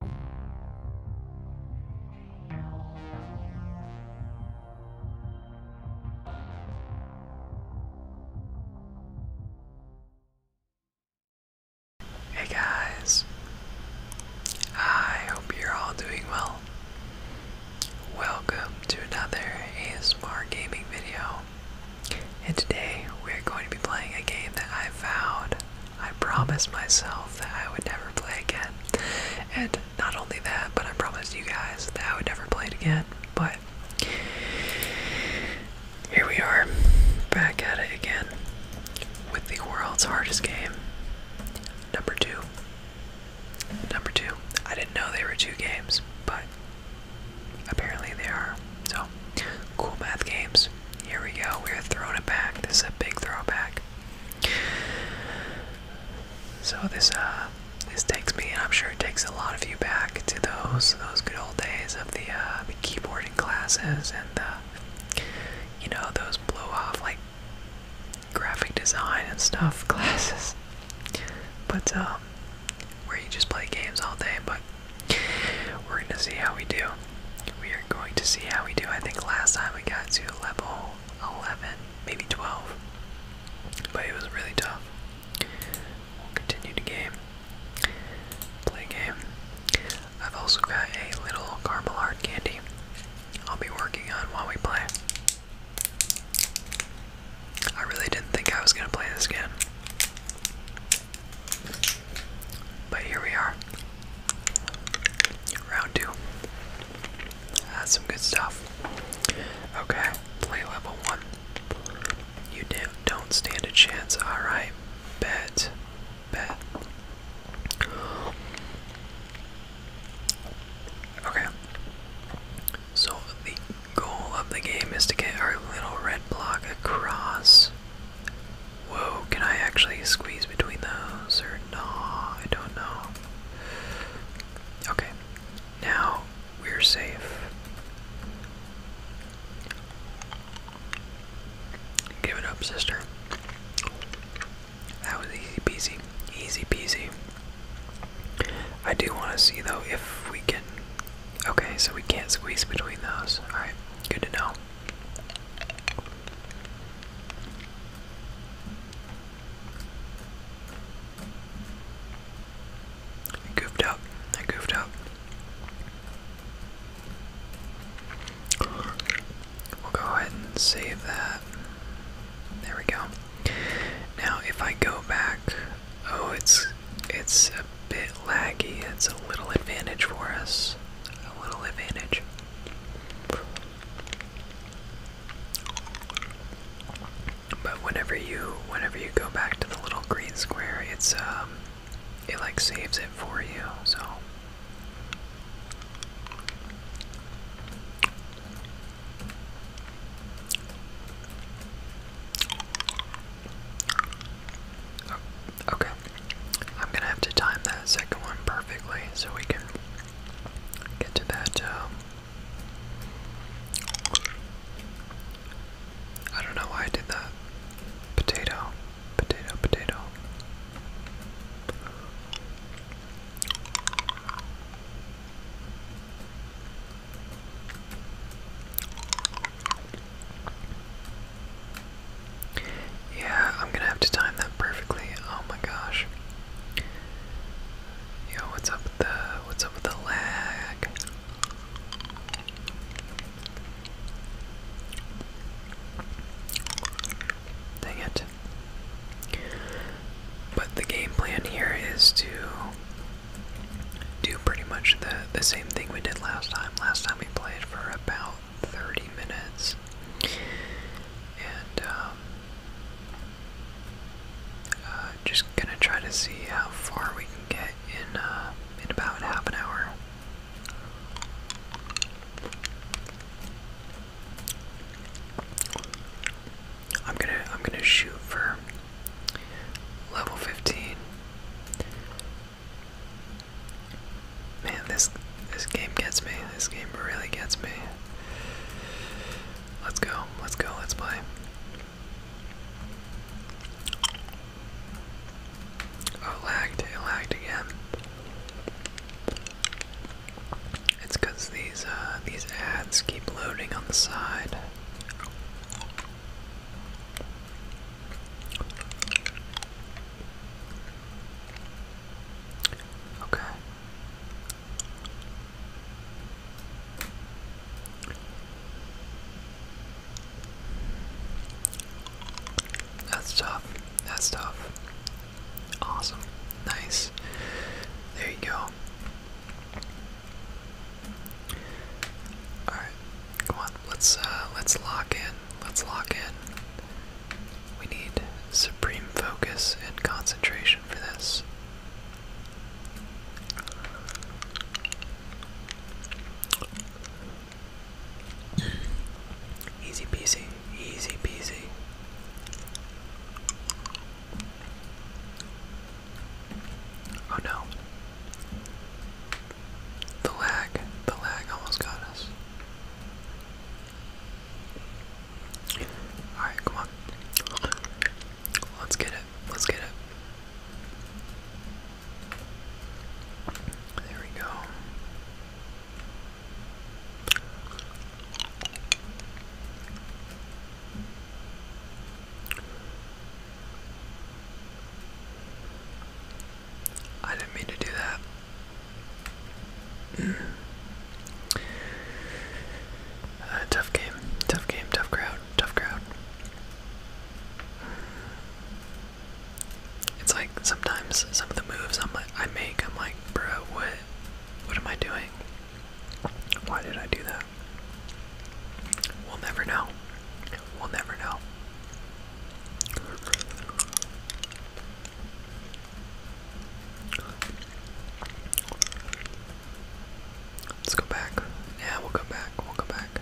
Hey guys, I hope you're all doing well. Welcome to another ASMR gaming video, and today we're going to be playing a game that I found I promised myself that I would never play again. And not only that, but I promised you guys that I would never play it again. But here we are, back at it again with the world's hardest game. Number two. Number two. I didn't know there were two games, but apparently there are. So, cool math games. Here we go. We're throwing it back. This is a big throwback. So this uh this takes me, and I'm sure it takes a lot of you back to those those good old days of the uh, keyboarding classes and the you know those blow off like graphic design and stuff classes. But um, where you just play games all day, but we're gonna see how we do we are going to see how we do. I think last time we got to level 11, maybe 12, but it was really tough. We'll continue the game, play game. I've also got a little caramel hard candy I'll be working on while we play. I really didn't think I was going to play this again. But here we are. Round two. That's some good stuff. Okay, play level one. You don't stand a chance. Alright, bet. Bet. Okay. So the goal of the game is to get our little red block across Whoa, can I actually squeeze between those or no? I don't know. Okay, now we're safe. Give it up, sister. That was easy peasy. Easy peasy. I do want to see though if we can. Okay, so we can't squeeze between those. Alright, good to know. I up. I goofed up. We'll go ahead and save that. There we go. Now, if I go back, oh, it's it's a bit laggy. It's a little advantage for us. A little advantage. But whenever you whenever you go back to the little green square, it's um it like saves it for you. So oh, Okay. I'm gonna have to time that second one perfectly so we can get to that. Um, I don't know why I did that. Potato, potato, potato. Yeah, I'm gonna have to time that perfectly. Oh my gosh. Yo, what's up with the what's up with the lag? Dang it. But the game plan here is to do pretty much the the same thing we did last time. Last time we played for about 30 minutes. And um, uh, just gonna try to see how far we can get in uh, in about half an hour. I'm gonna I'm gonna shoot for level 15. Man, this this game gets me. This game really gets me. Let's go. Let's go. Let's play. Oh, lagged. It lagged again. It's because these uh, these ads keep loading on the side. Okay. That's tough. That's tough. Awesome. Nice. There you go. Alright. Come on. Let's uh let's lock in Let's lock in. We need supreme focus and concentration for this. Easy peasy, easy peasy. Oh no. The lag, the lag almost got us. Alright, come on. Let's get it. Let's get it. There we go. I didn't mean to do that. Uh, tough game, tough game, tough crowd, tough crowd. It's like sometimes some of the moves i I make, I'm like, bro, what, what am I doing? Why did I do that? We'll never know. We'll never know. Let's go back. Yeah, we'll go back. We'll go back.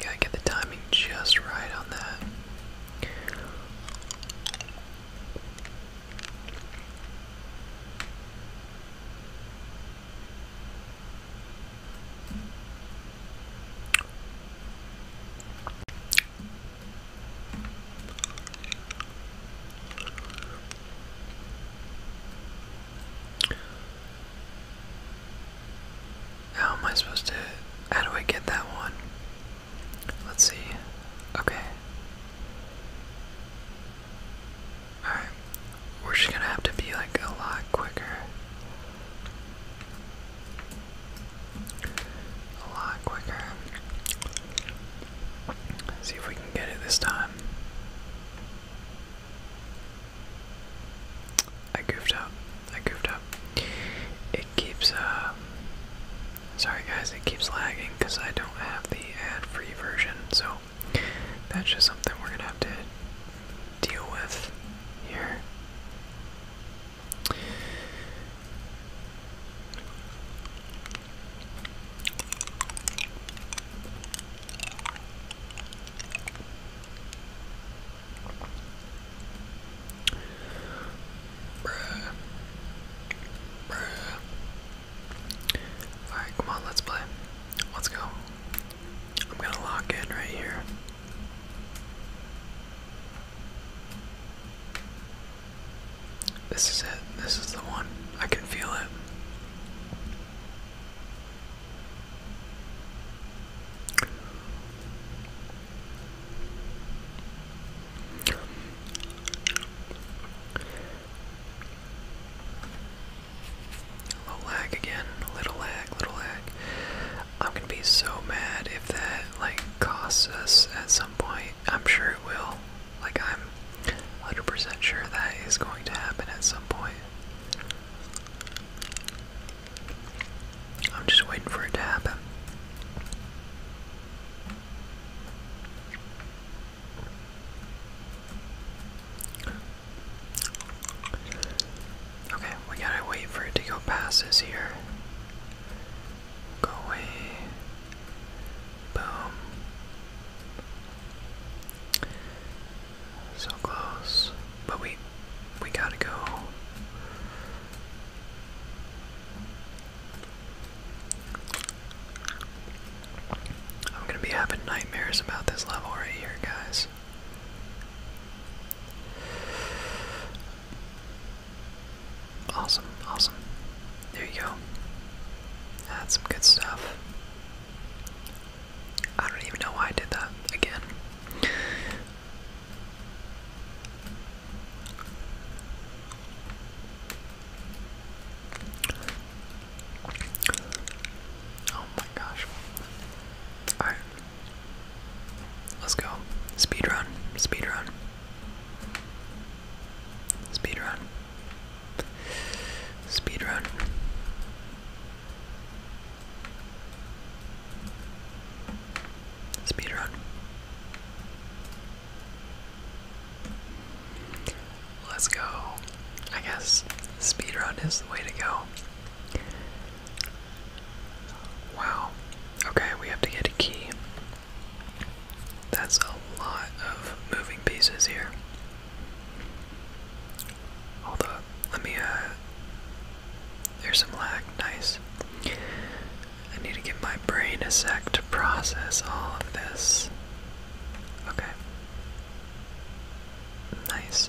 Gotta get the timing just right on that. How am I supposed to. How do I get that one? Let's see. Okay. Alright. We're just gonna have to be like a lot quicker a lot quicker. see if we can get it this time. I goofed up. I goofed up. It keeps, um, Sorry guys, it keeps lagging because I don't have the ad free version, so that's just something we're gonna have to deal with here. Bruh. Bruh. Alright, come on, let's play. Let's go. I'm gonna lock in right here. This is it. This is the one. I can feel it. A lag again. A little lag, little lag. I'm gonna be so mad if that like costs us point. I'm sure it will. Like, I'm 100% sure that is going to happen at some point. I'm just waiting for it to happen. Okay, we gotta wait for it to go past here. Go away. Boom. So close. But we we gotta go. I'm gonna be having nightmares about this level right here, guys. Awesome, awesome. There you go. That's some good stuff. I don't even know why I did that again. Oh my gosh. Alright. Let's go. Speed run. Speed run. Speed Speed run. run. Speed run. Let's go. I guess speed run is the way to go. Wow. Okay, we have to get a key. That's a lot of moving pieces here. Although, let me, uh, there's some lag, nice. I need to give my brain a sec to process all of this. Okay. Nice.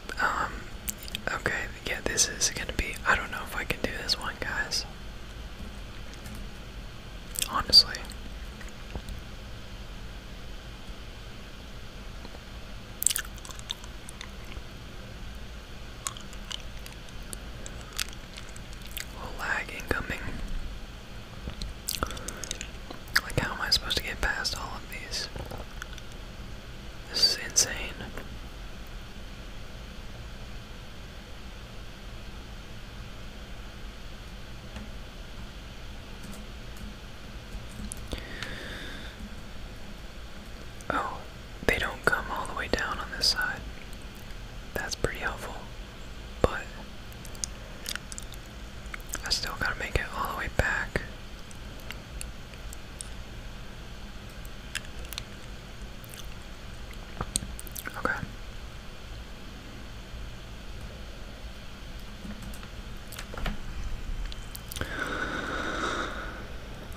Um, okay, yeah, this is gonna be. I don't know if I can do this one, guys. Honestly. lag incoming. Like, how am I supposed to get past all of these? This is insane. Oh, they don't come all the way down on this side. That's pretty helpful. But I still gotta make it all the way back. Okay.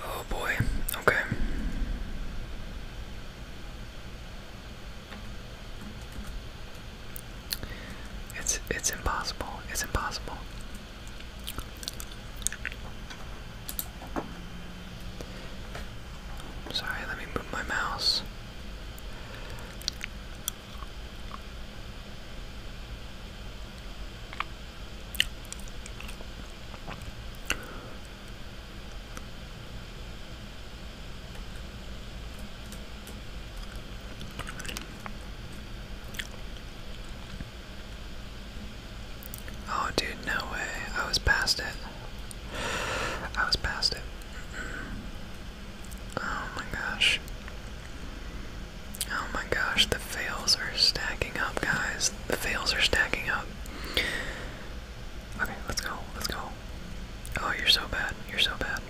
Oh boy. Okay. It's it's impossible. It's impossible. Sorry, let me move my mouse. Oh, dude, no way. I was past it. I was past it. Mm-hmm. Oh my gosh. Oh my gosh, the fails are stacking up, guys. The fails are stacking up. Okay, let's go. Let's go. Oh, you're so bad. You're so bad.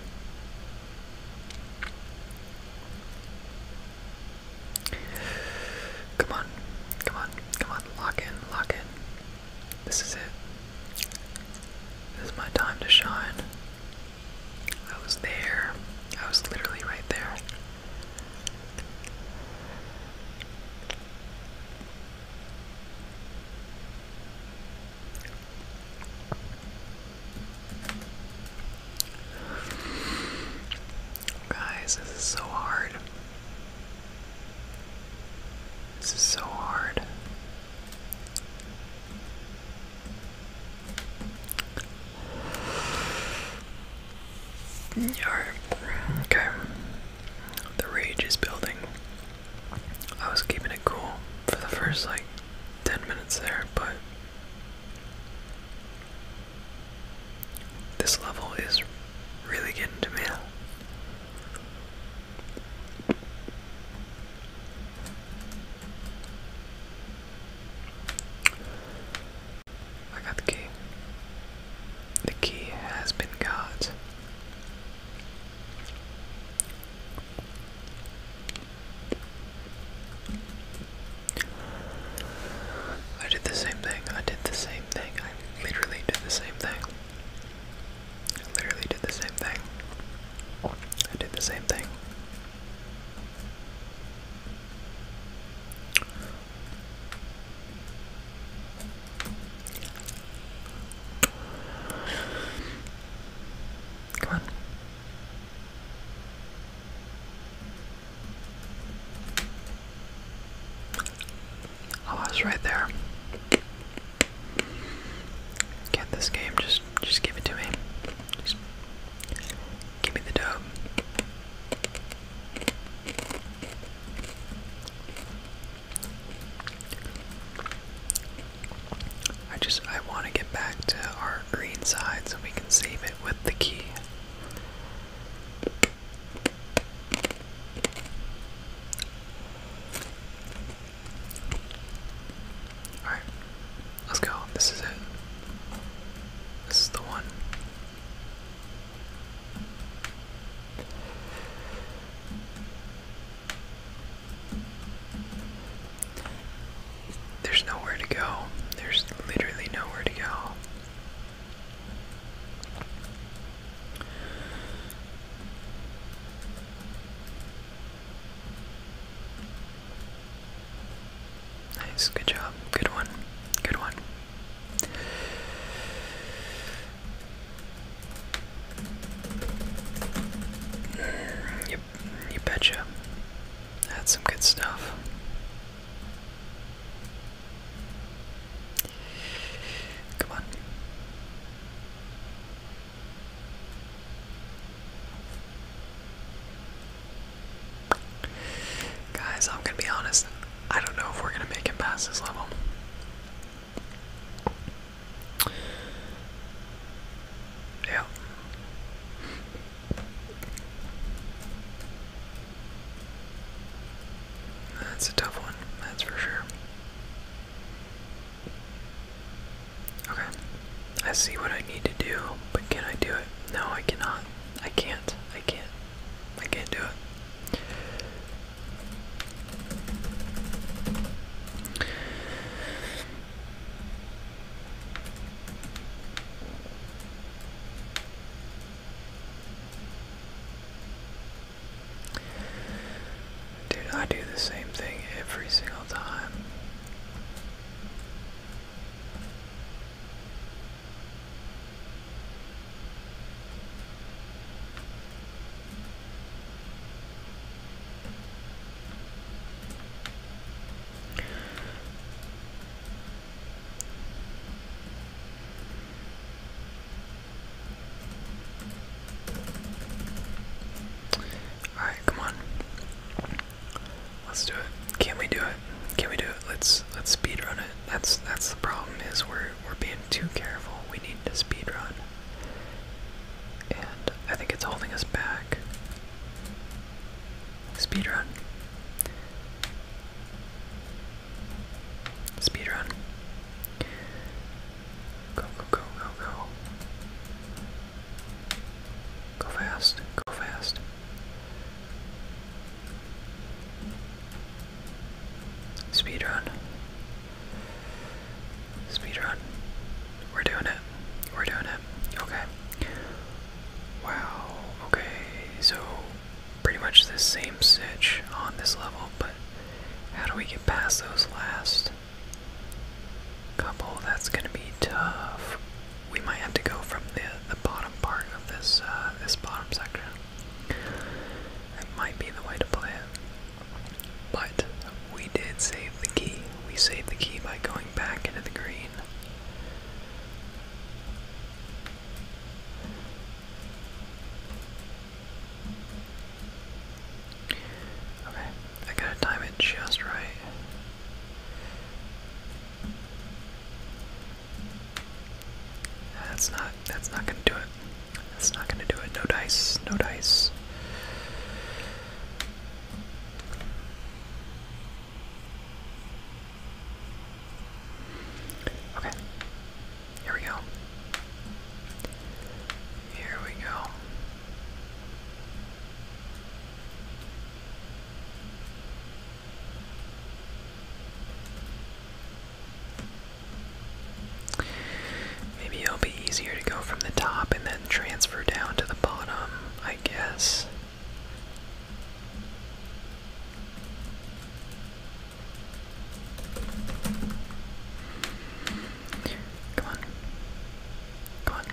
Come on, come on, come on, lock in, lock in. This is it. This is my time to shine. I was there. I was literally right there. Guys, this is so hard. This is so hard. Alright, okay. The rage is building. I was keeping it cool for the first like 10 minutes there, but this level is really getting to me. I got the key. The key has been got. I did the same thing. I did the same thing literally did the same thing. literally did the same thing. I did the same thing. Come on. Oh, I was right there. Get this game, just just give it to me. Just give me the dub. I just I want to get back to our green side so we can save it with the key. Alright, let's go. This is it. This is the one. There's nowhere to go. There's literally nowhere to go. Nice, good job. Good one. Good one. Yep, you betcha. That's some good stuff. Come on. Guys, I'm gonna be honest, I don't know if we're gonna make it past this level. Yeah. That's a tough one, that's for sure. Okay. I see what I need to do, but can I do it? No, I cannot. I can't. I can't. I can't do it. Dude, I do the same thing every single time. Alright, come on. Let's do it. Can we do it? Can we do it? Let's let's speed run it. That's that's the problem is we're we're being too careful. We need to speed run. And I think it's holding us back. Speed run. Speedrun. Go, go, go, go, go. Go fast, go fast. Speedrun. Speedrun. We're doing it. We're doing it. Okay. Wow. Okay, so pretty much the same sitch on this level, but how do we get past those last couple? That's gonna be tough. We might have to go from the the bottom part of this uh, this bottom section. It might be the way to play it. But we did save the key. We saved the key by going back into the green. Okay, I gotta time it just right. That's not that's not gonna do it. That's not gonna do it. No dice, no dice. Okay. Here we go. Here we go. Maybe it'll be easier to go from the top and then transfer down to the bottom, I guess. Come on. Come on.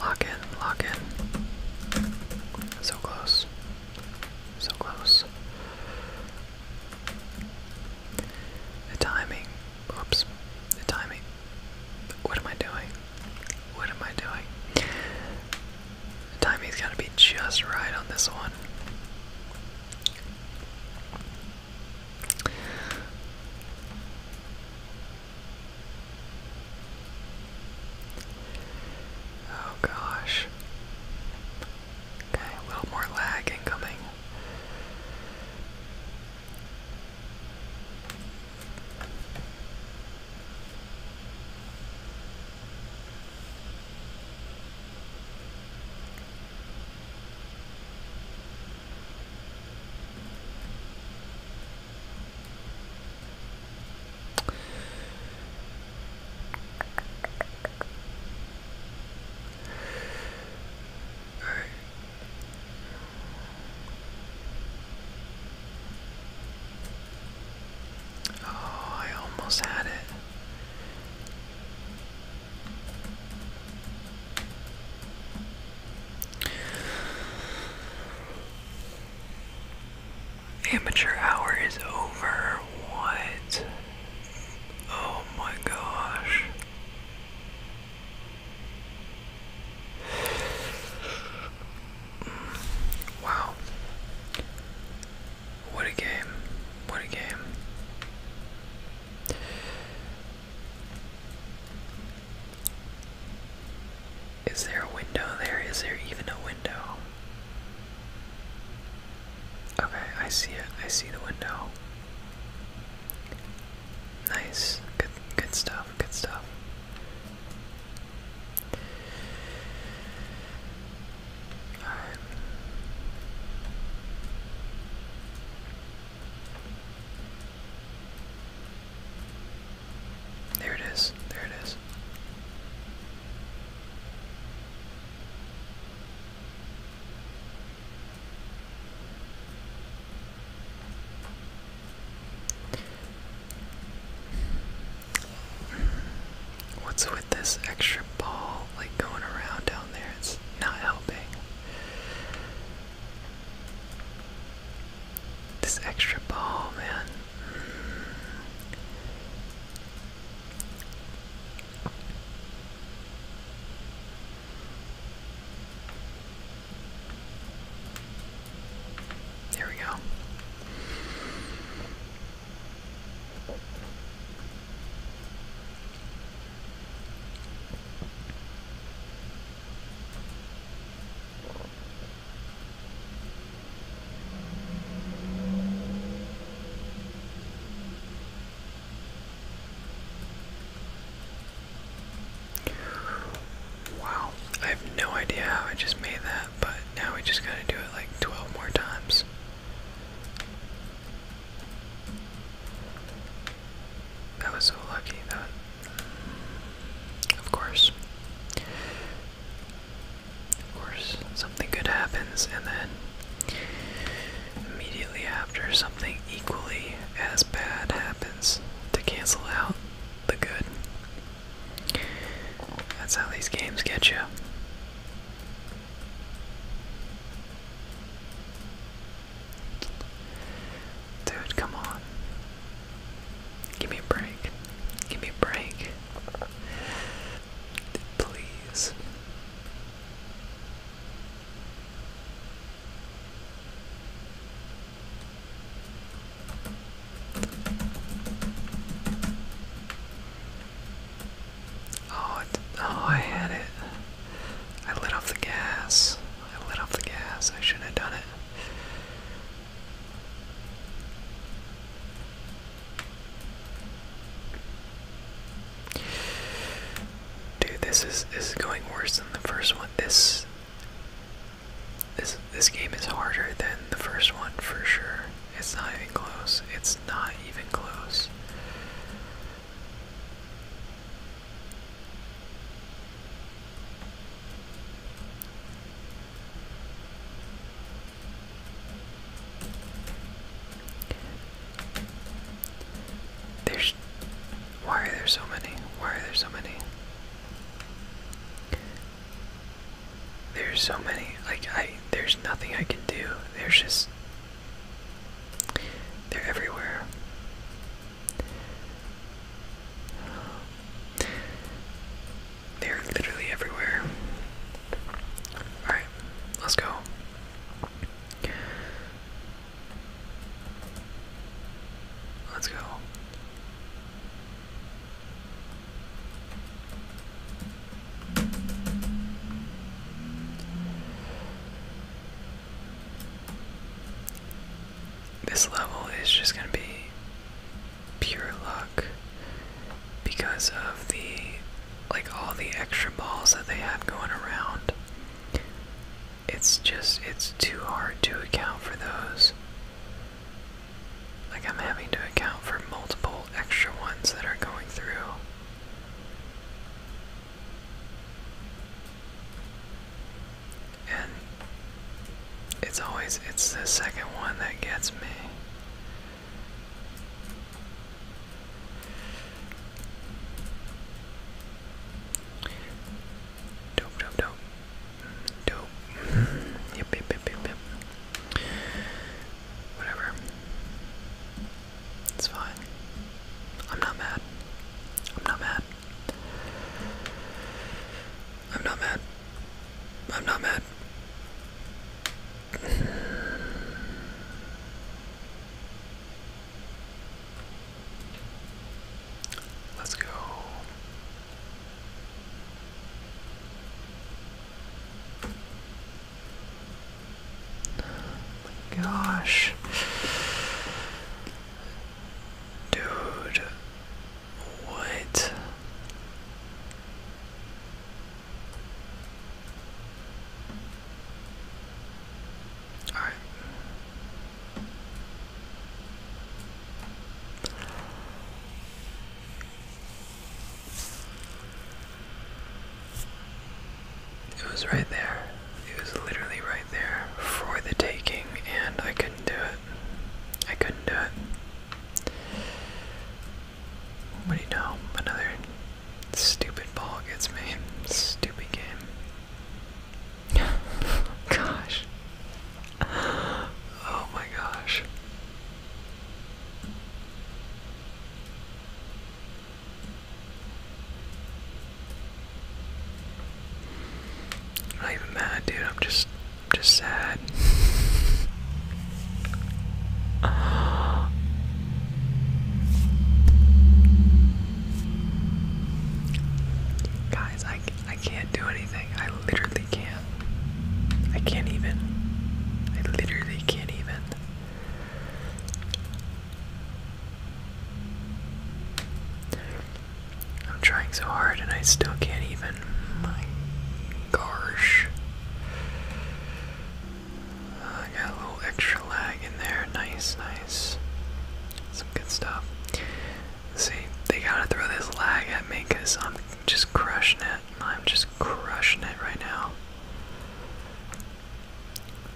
Lock in. Lock in. So close. So close. The timing. Oops. The timing. What am I doing? What am I doing? The timing's gotta be just right on this one. Oh gosh. Okay, a little more lag incoming. Oh, I almost had it. Amateur hour is over. What? Oh my gosh. Wow. What a game. What a game. Is there a window there? Is there even a window? Okay, I see it. I see the window. Nice. Good good stuff. Good stuff. There it is. There it is. What's with this extra ball like going around down there. It's not helping. This extra ball, man. Mm. There we go. Wow, I have no idea how I just made that, but now we just gotta do it like 12 more times. That was so lucky that. Of course. Of course, something good happens, and then immediately after, something equally as bad happens to cancel out the good. That's how these games get you. Dude, come on. Give me a break. Give me a break. Please. Oh, oh, I had it. I lit off the gas. I lit off the gas. I shouldn't have done it. Dude, this is this is going worse than the first one. This this this game is harder than the first one for sure. It's not even close. It's not even close. There's. Why are there so many? Why are there so many? There's so many. Like I, there's nothing I can do. There's just they're everywhere. They're literally everywhere. Alright, let's go. Let's go. This level is just going to be pure luck because of the like all the extra balls that they have going around. It's just it's too hard to account for those. Like I'm having to account for multiple extra ones that are going through. And it's always it's the second one that gets me. Dope, dope, dope. Dope. Whatever. It's fine. I'm not mad. I'm not mad. I'm not mad. I'm not mad. Let's go gosh. Dude. What? All right. It was right there. It was literally right there for the taking, and I couldn't do it. I couldn't do it. What do you know? Another stupid ball gets me. Stupid game. gosh. Oh my gosh. I'm not even mad, dude. I'm just, just sad. guys, I, I can't do anything. I literally can't. I can't even. I literally can't even. I'm trying so hard and I still can't even. My gosh. I got a little extra lag in there. Nice, nice. Some good stuff. See, they gotta throw this lag at me because I'm just crushing it. I'm just crushing it right now.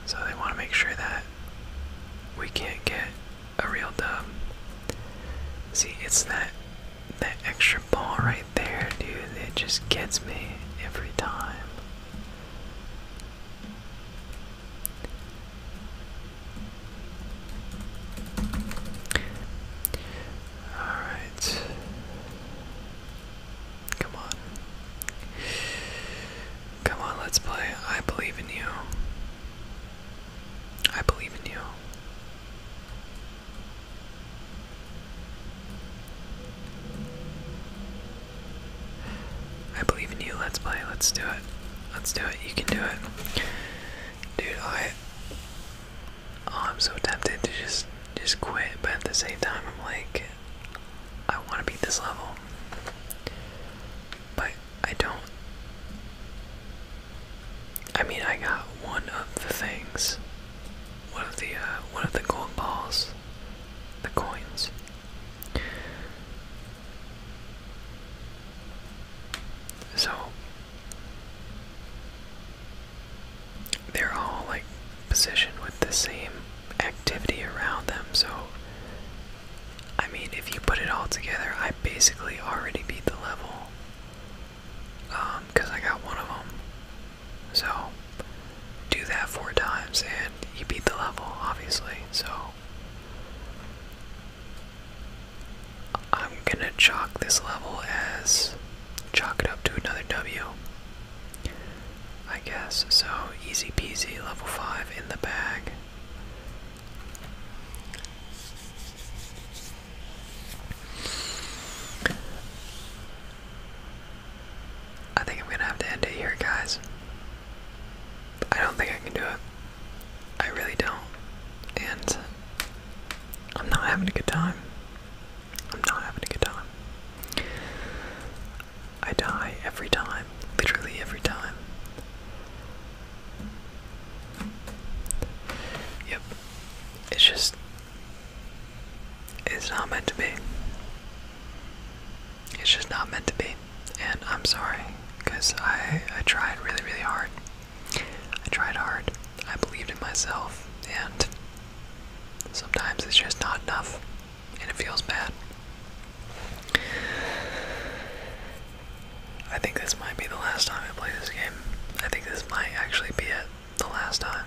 So they want to make sure that we can't get a real dub. See, it's that that extra ball right there, dude, It just gets me every time. Alright. Come on. Come on, let's play. I believe in you. I believe in you. I believe in you. Let's play. Let's do it. Let's do it. You can do it. Dude, I oh, I'm so tempted to just just quit, but at the same time I'm like I want to beat this level. But I don't. I mean, I got one of the things, one of the uh, one of the gold balls, the coins. So they're all like positioned with the same activity around them. So, I mean, if you put it all together, I basically already beat the level because um, I got one of them. So, do that four times and you beat the level, obviously. So, I'm gonna chalk this level as chalk it up to another W. I guess. So easy peasy, level 5 in the bag. I think I'm gonna have to end it here, guys. I don't think I can do it. I really don't. And I'm not having a good time. I'm not having a good time. I die every time, literally every time. Yep, it's just. It's not meant to be. It's just not meant to be. And I'm sorry, because I, I tried really, really hard. I tried hard. I believed in myself, and sometimes it's just not enough and it feels bad. I think this might be the last time I play this game. I think this might actually be it. The last time.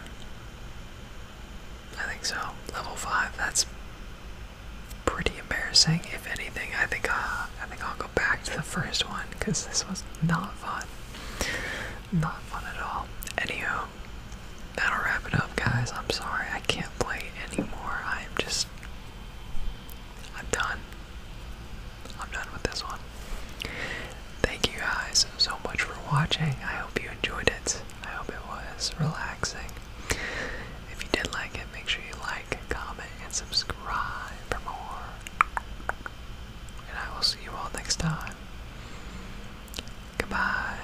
I think so. Level five. That's pretty embarrassing. If anything, I think uh, I think I'll go back to the first one because this was not fun. Not fun at all. Anywho, that'll wrap it up, guys. I'm sorry, I can't play anymore. I'm just. I'm done. I'm done with this one. Thank you guys so much for watching. I hope you enjoyed it. I hope it was relaxing. If you did like it, make sure you like, comment, and subscribe for more. And I will see you all next time. Goodbye.